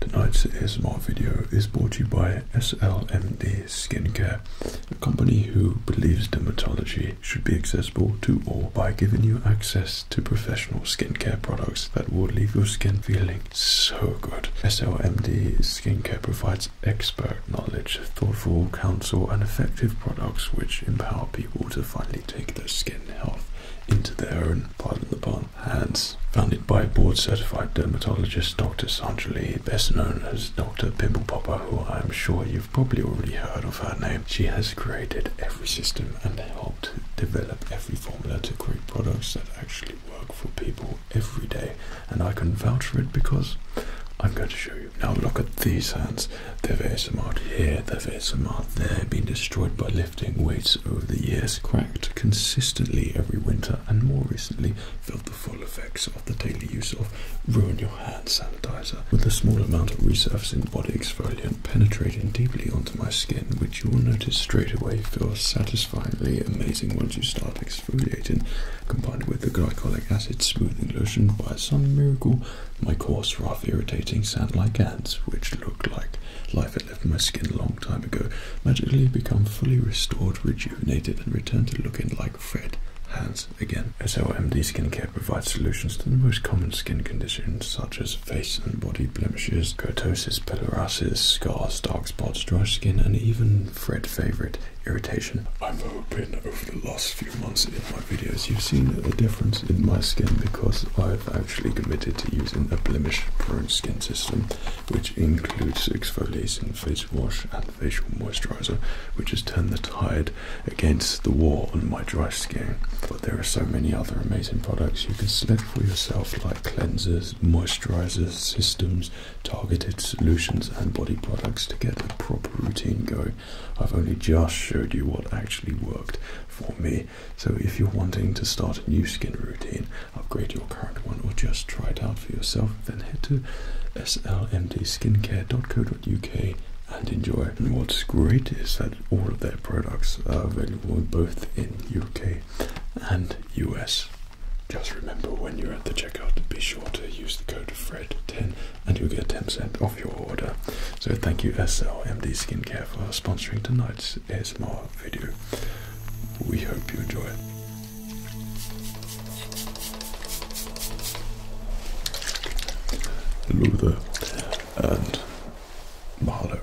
Tonight's ASMR video is brought to you by SLMD Skincare, a company who believes dermatology should be accessible to all by giving you access to professional skincare products that will leave your skin feeling so good. SLMD Skincare provides expert knowledge, thoughtful counsel, and effective products which empower people to finally take their skin health into their own, pardon hands. Founded by board certified dermatologist Dr. Sanjali, best known as Dr. Pimple Popper, who I'm sure you've probably already heard of her name. She has created every system and helped develop every formula to create products that actually work for people every day. And I can vouch for it because I'm going to show you. Now look at these hands. They've are ASMR here, they've ASMR there, been destroyed by lifting weights over the years, cracked consistently every winter, and more recently felt the full effects of the daily use of Ruin Your Hand sanitizer, with a small amount of resurfacing body exfoliant penetrating deeply onto my skin, which you will notice straight away feels satisfyingly amazing once you start exfoliating, combined with the glycolic acid smoothing lotion by some miracle. My coarse, rough, irritating sand-like hands, which looked like life left my skin a long time ago magically become fully restored, rejuvenated, and returned to looking like Fred hands again. SLMD skincare provides solutions to the most common skin conditions such as face and body blemishes, keratosis, pilarosis, scars, dark spots, dry skin, and even Fred favorite irritation. I'm hoping over the last few months in my videos you've seen a difference in my skin because I've actually committed to using a blemish prone skin system which includes exfoliating face wash and facial moisturizer, which has turned the tide against the war on my dry skin. But there are so many other amazing products you can select for yourself, like cleansers, moisturizers, systems, targeted solutions, and body products to get a proper routine going. I've only just showed you what actually worked for me. So if you're wanting to start a new skin routine, upgrade your current one or just try it out for yourself, then head to slmdskincare.co.uk and enjoy. And what's great is that all of their products are available both in UK and US. Just remember when you're at the checkout, be sure to use the code FRED10 and you'll get 10% off your order. So thank you SLMD Skincare for sponsoring tonight's this ASMR video. We hope you enjoy it. Hello and mahalo.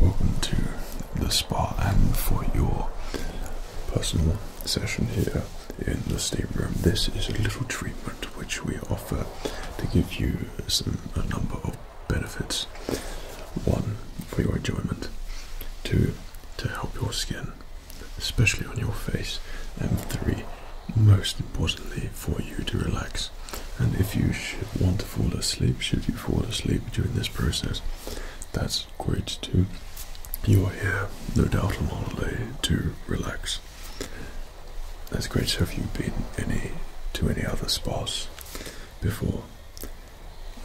Welcome to the spa and for your personal session here in the steam room. This is a little treatment which we offer to give you a number of benefits. One, for your enjoyment. Two, to help your skin, especially on your face. And three, most importantly, for you to relax. And if you want to fall asleep, should you fall asleep during this process, that's great too. You are here, no doubt, on holiday to relax. That's great. So, have you been any to any other spas before?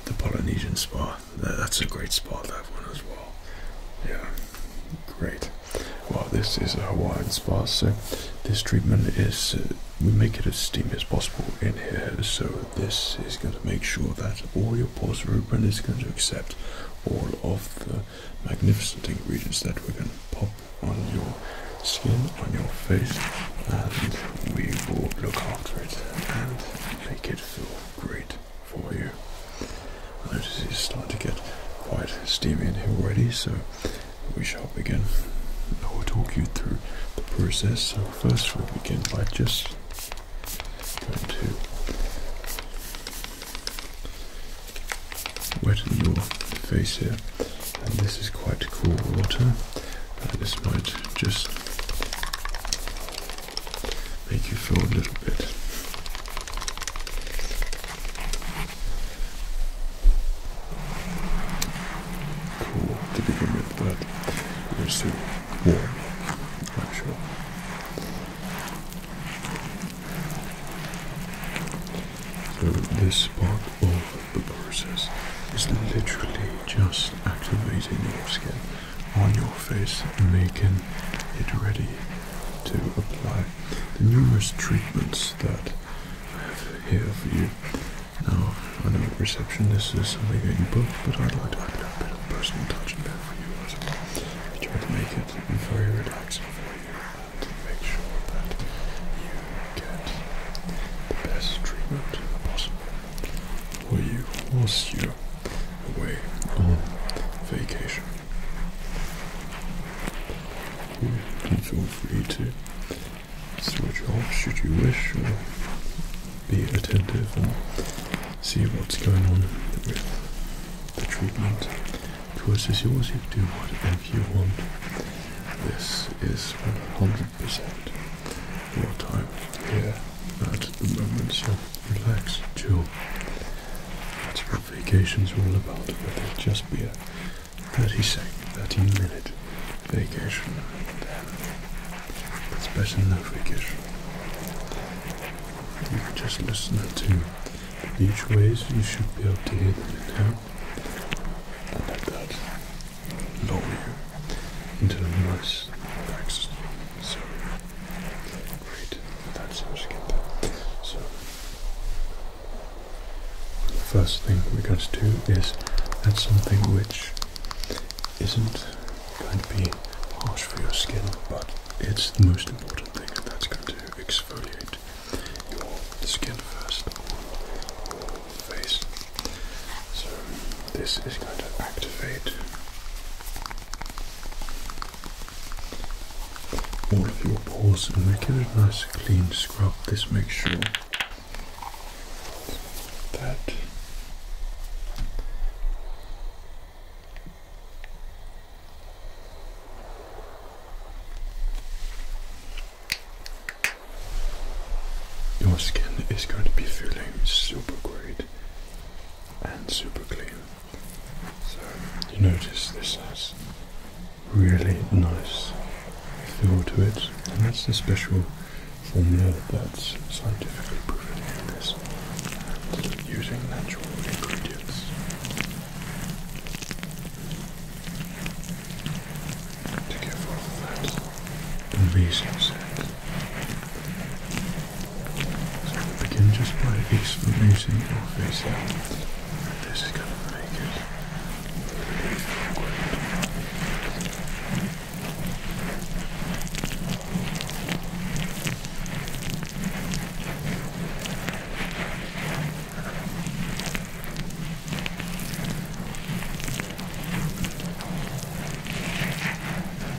the Polynesian spa. That's a great spa, that one as well. Yeah, great. Well, this is a Hawaiian spa, so this treatment is uh, we make it as steamy as possible in here. So this is going to make sure that all your pores are open. It's going to accept all of the magnificent ingredients that we can pop on your skin, on your face, and we will look after it and make it feel great for you. I notice it's starting to get quite steamy in here already, so we shall begin. I will talk you through the process. So first we'll begin by just going to wet your face here. And this is quite cool water. this might just make you feel a little bit cool to begin with, but you're still warm, I'm sure. So this part of the process is literally just activating your skin on your face, making it ready to apply the numerous treatments that I have here for you. Now, I know receptionist is something that you booked, but I'd like to add a bit of personal touch in there for you as well. try to make it very relaxing for you and to make sure that you get the best treatment possible. Were you last year away on vacation? You feel free to switch off should you wish or be attentive and see what's going on with the treatment. Course is yours, you do whatever you want. This is 100% more time here at the moment, so relax, chill. That's what vacations are all about, but it'll just be a 30 second, 30 minute vacation. It's better than no vacation. You can just listen to each ways, you should be able to hear them now. And let that lull you into a nice, relaxed so, great. That sounds good. So, the first thing we're going to do is that's something which isn't going to be harsh for your skin, but it's the most important thing, and that's going to exfoliate your skin first, face. So this is going to activate all of your pores and make it a nice clean scrub. This makes sure that your skin is going to be feeling super great and super clean. So you notice this has really nice feel to it, and that's the special formula that's scientifically proven in this, using natural ingredients. To give off that amazing scent. So we begin just by smoothing your face This is going to make it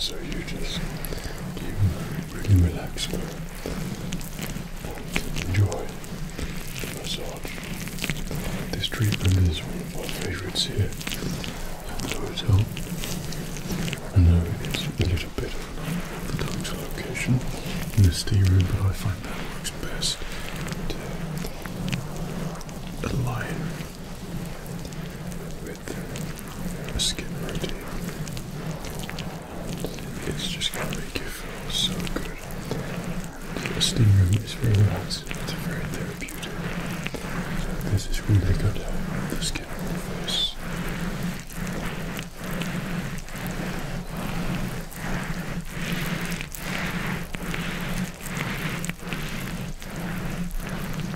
So you just keep really relax now and enjoy the massage. This treatment is one of my favourites here at the hotel. I know it's a little bit of a dark location in the tea room, but I find that works best to align with a skin routine. It's just going to make you feel so good. The steam room is very nice. It's very therapeutic. This is where they go down with the skin on the face.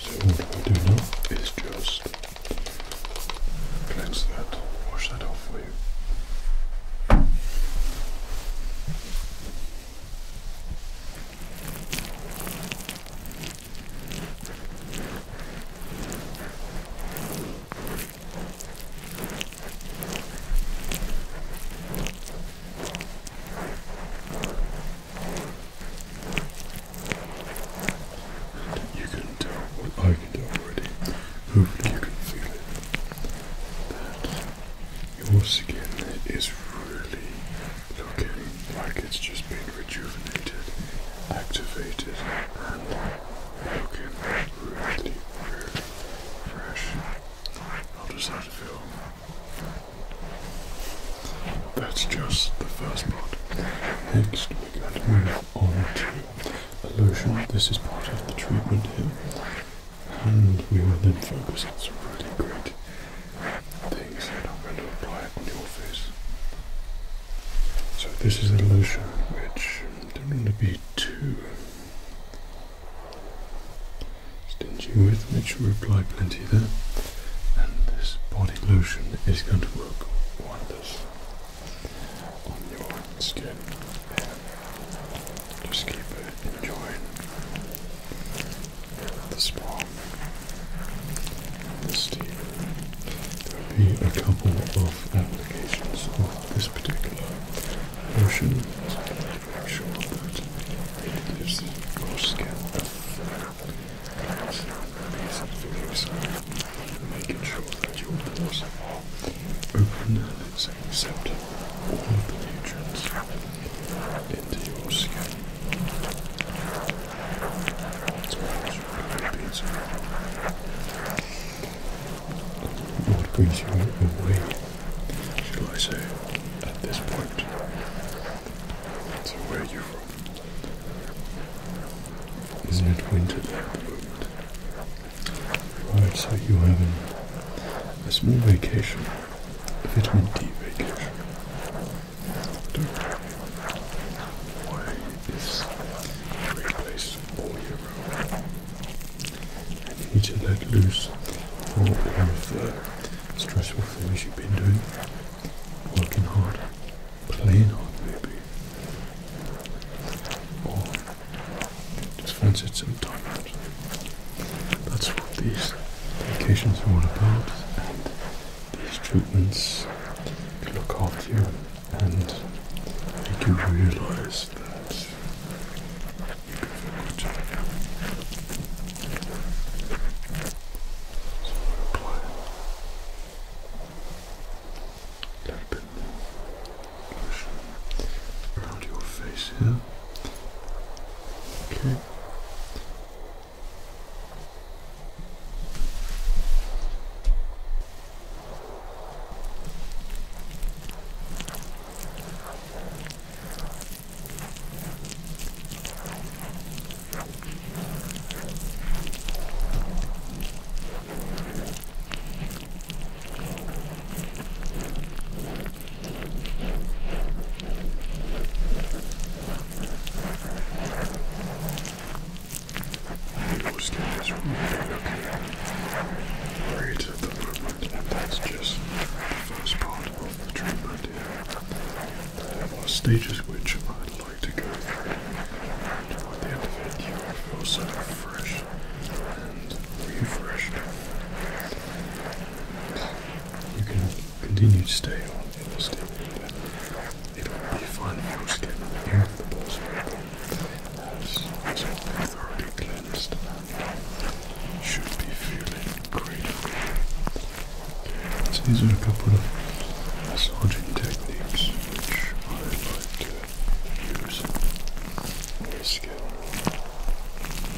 So what we do now is just cleanse that, wash that off clear. You can tell what I can tell already. Hopefully you can feel it. That your skin is really looking like it's just been rejuvenated, activated, and looking really, really fresh. How does that feel? That's just the first part. Next, we're going to move on to a lotion. This is part of the treatment here and we will then focus on some really great things that I'm going to apply on your face. So this is a lotion which don't want to be too stingy with, make sure we apply plenty there. And this body lotion is going to work wonders on your skin just keep it enjoying the spa, the steam. There'll be a couple of applications of this particular lotion make sure that it gives your skin a fair cleanse, easy to use, making sure that your pores are Open lets accept all the nutrients into your skin. It's quite beautiful. What brings you away, shall I say, at this point? So where are you from? Isn't it winter there Alright, so you having a small vacation, a vitamin D vacation. Don't worry, is a great place all year round. And you need to let loose all of the stressful things you've been doing, working hard, playing hard maybe, just fancied some time That's what these vacations are all about, and these treatments look after you and make you realize that you can feel good. So apply a bit around your face here. Okay. We'll skip Okay. Right the movement, and that's just the first part of the treatment here. stages which I'd like to go through. the end of it, you will feel so fresh and refreshed. You can continue to stay on, it will still be It will be fun if you just get all the balls available. As it's all thoroughly cleansed and should be feeling great. Okay, these are a couple of massaging techniques which I like to use. This skill.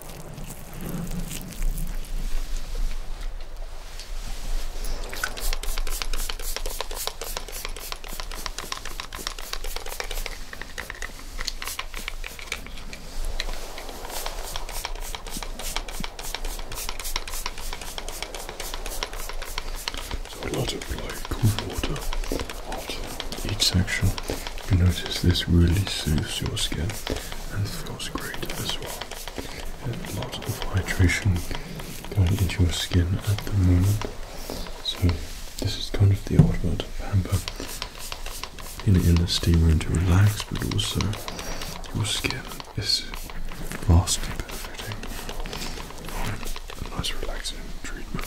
So a lot of like cool water Hot. each section notice this really soothes your skin and feels great as well. lots of hydration going into your skin at the moment. So this is kind of the ultimate pamper in the steam room to relax, but also your skin is vastly benefiting a nice relaxing treatment.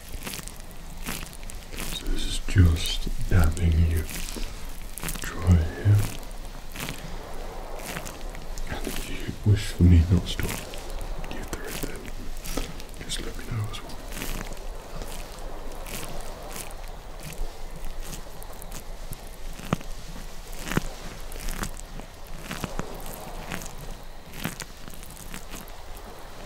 So this is just dabbing you dry here. And if you wish for me not to you do it then. Just let me know as well.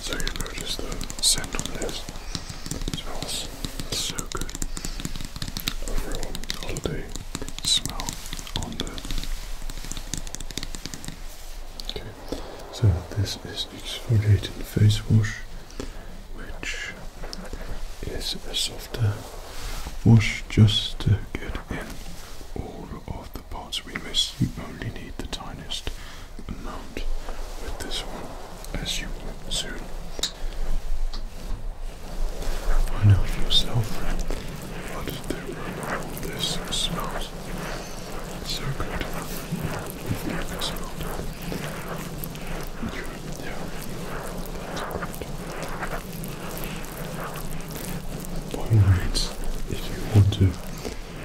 So you notice the scent on this smells so good. Overall holiday smell on the Okay. So this is exfoliating face wash, which is a softer wash just to get in all of the parts we miss. You only need the tiniest amount with this one, as you will soon find out yourself. But there are all this it's so good. It's so good. Yeah. By all if you want to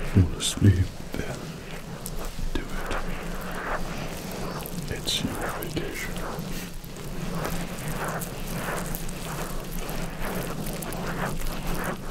fall asleep, then do it. It's your vacation.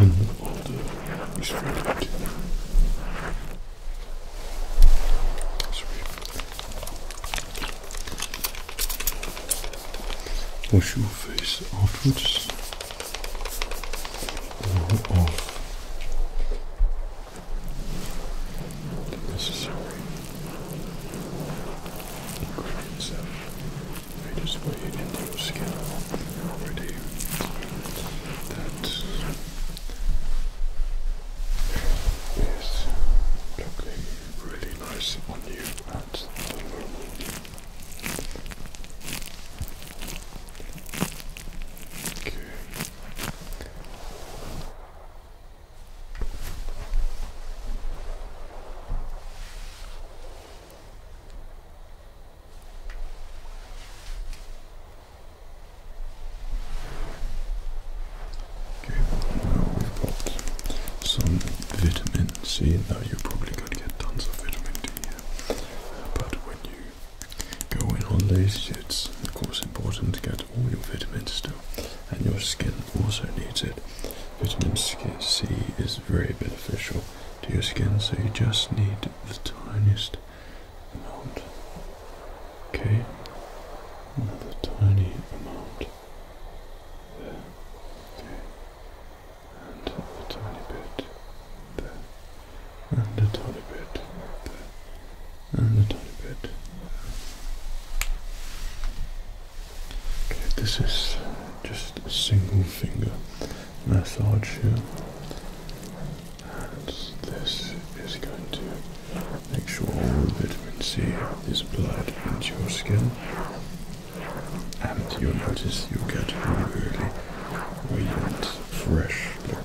And the order is ready. Wash your face afterwards or off necessary ingredients that I just weighed in the scale already that is looking really nice on you Okay. Okay, now we've got some vitamin C. Now you are probably going to get tons of vitamin D here, but when you go in on these, it's of course important to get all your vitamin still, and your skin also needs it. Vitamin C is very beneficial to your skin, so you just need the tiniest amount. Okay, another tiny amount there. Okay, and a tiny bit there, and a tiny bit there and a tiny bit. Okay, this is just a single finger massage here, and this is going to make sure all the vitamin C is applied into your skin, and you'll notice you get really, really radiant, fresh look.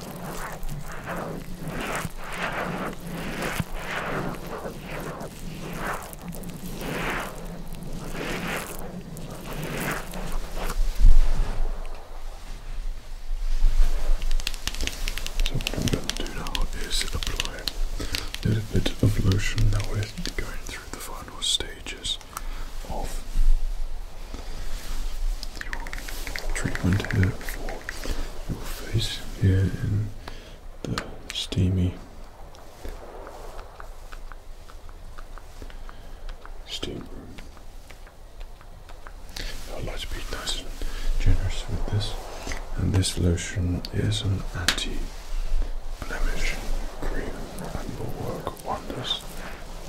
So what we're going to do now is apply a little bit of lotion. Now we're going through the final stages of treatment here your face here in the steamy steam room. I'd be nice and generous with this. And this lotion is an anti-blemish cream and will work wonders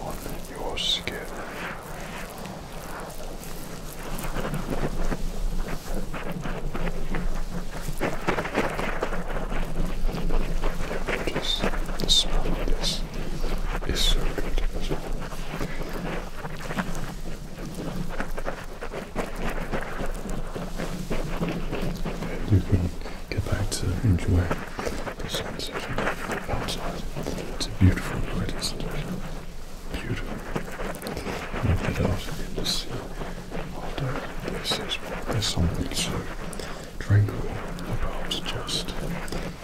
on your skin. It is, the smell is so good You can get back to enjoy the sensation outside. It's a beautiful, place. Beautiful. You get out in the sea. Although this is, there's something so tranquil about just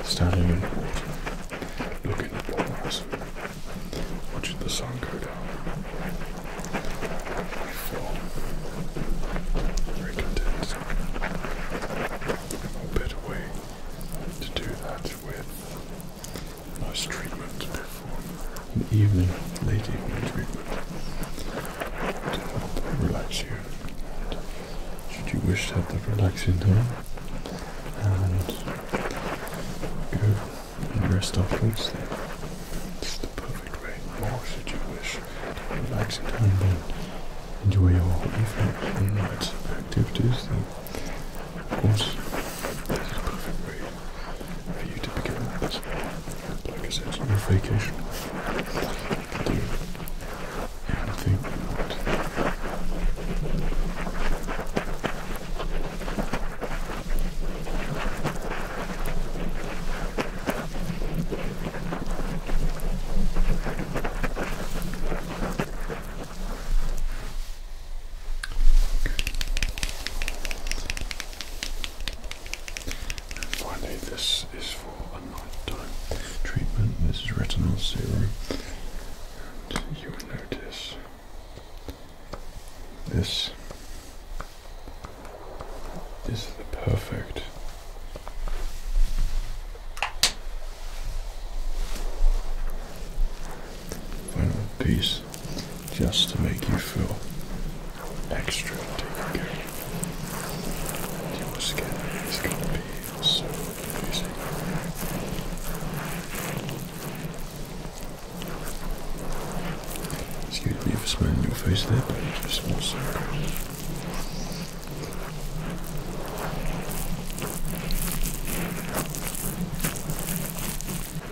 standing in the water, looking at the waves. watching the sun go down. I feel very content. What better way to do that with nice treatment before an evening, late evening treatment relax here. should you wish to have that relaxing time and go and rest afterwards, then it's the perfect way. Or should you wish to relax in time and enjoy your evening and night activities, of perfect for you to begin this. Like I said, your vacation. You can do and finally, this is for a nighttime treatment. This is retinol serum, and you will notice this is the perfect final piece just to make you feel extra taken care of. Your skin is going to be so amazing. Excuse me for smelling your face there, just smells so good.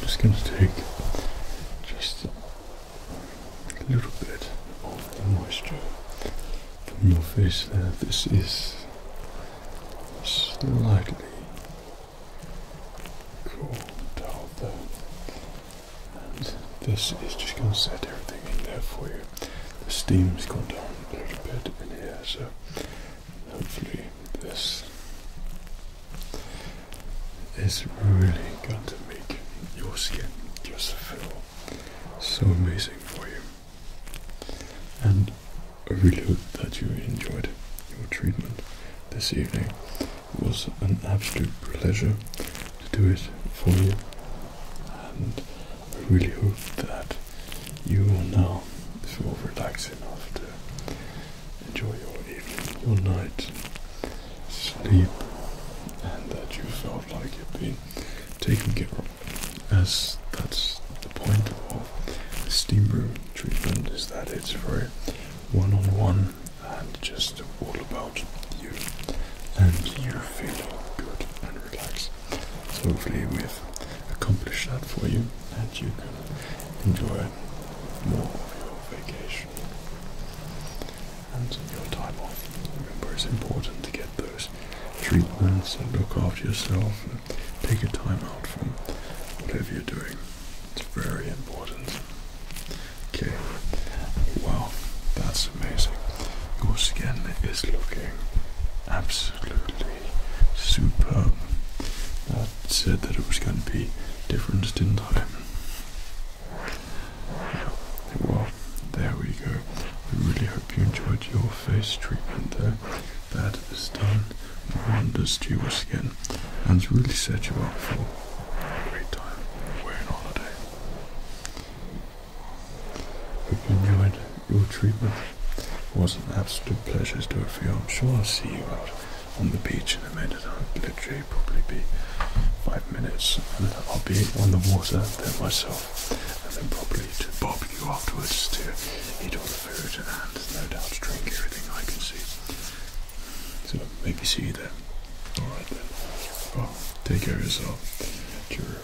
just going to take just a little bit of the moisture from your face there. This is slightly Cool, dialed that. And this is just going to set everything in there for you. The steam's gone down a little bit in here, so hopefully this is really going to make your skin just feel so amazing for you. And I really hope that you enjoyed your treatment this evening. It was an absolute pleasure to do it for you, and I really hope that you will now feel relaxed enough to enjoy your evening, your night, sleep, and that you felt like you've been taken care of, as that's the point of all steam room treatment is that it's very one on one and just all about you, and you feel good and relaxed. So, hopefully, we've accomplished that for you, and you can enjoy more of your vacation and your time off. Remember, it's important to get those treatments and look after yourself and take your time out from whatever you're doing. It's very important. Okay. Wow, that's amazing. Your skin is looking absolutely superb. I said that it was going to be different, didn't I? Well, there we go. We really hope you enjoyed your face treatment there that has done wonders to your skin and has really set you up for a great time away on holiday. Hope you enjoyed your treatment. It was an absolute pleasure to have it for you. I'm sure I'll see you out on the beach in a minute. I'll literally probably be five minutes and I'll be on the water there myself and then probably to you afterwards to eat food and drink everything I can see. So maybe see you there. Alright then. Well, oh, take care of yourself. Cheer.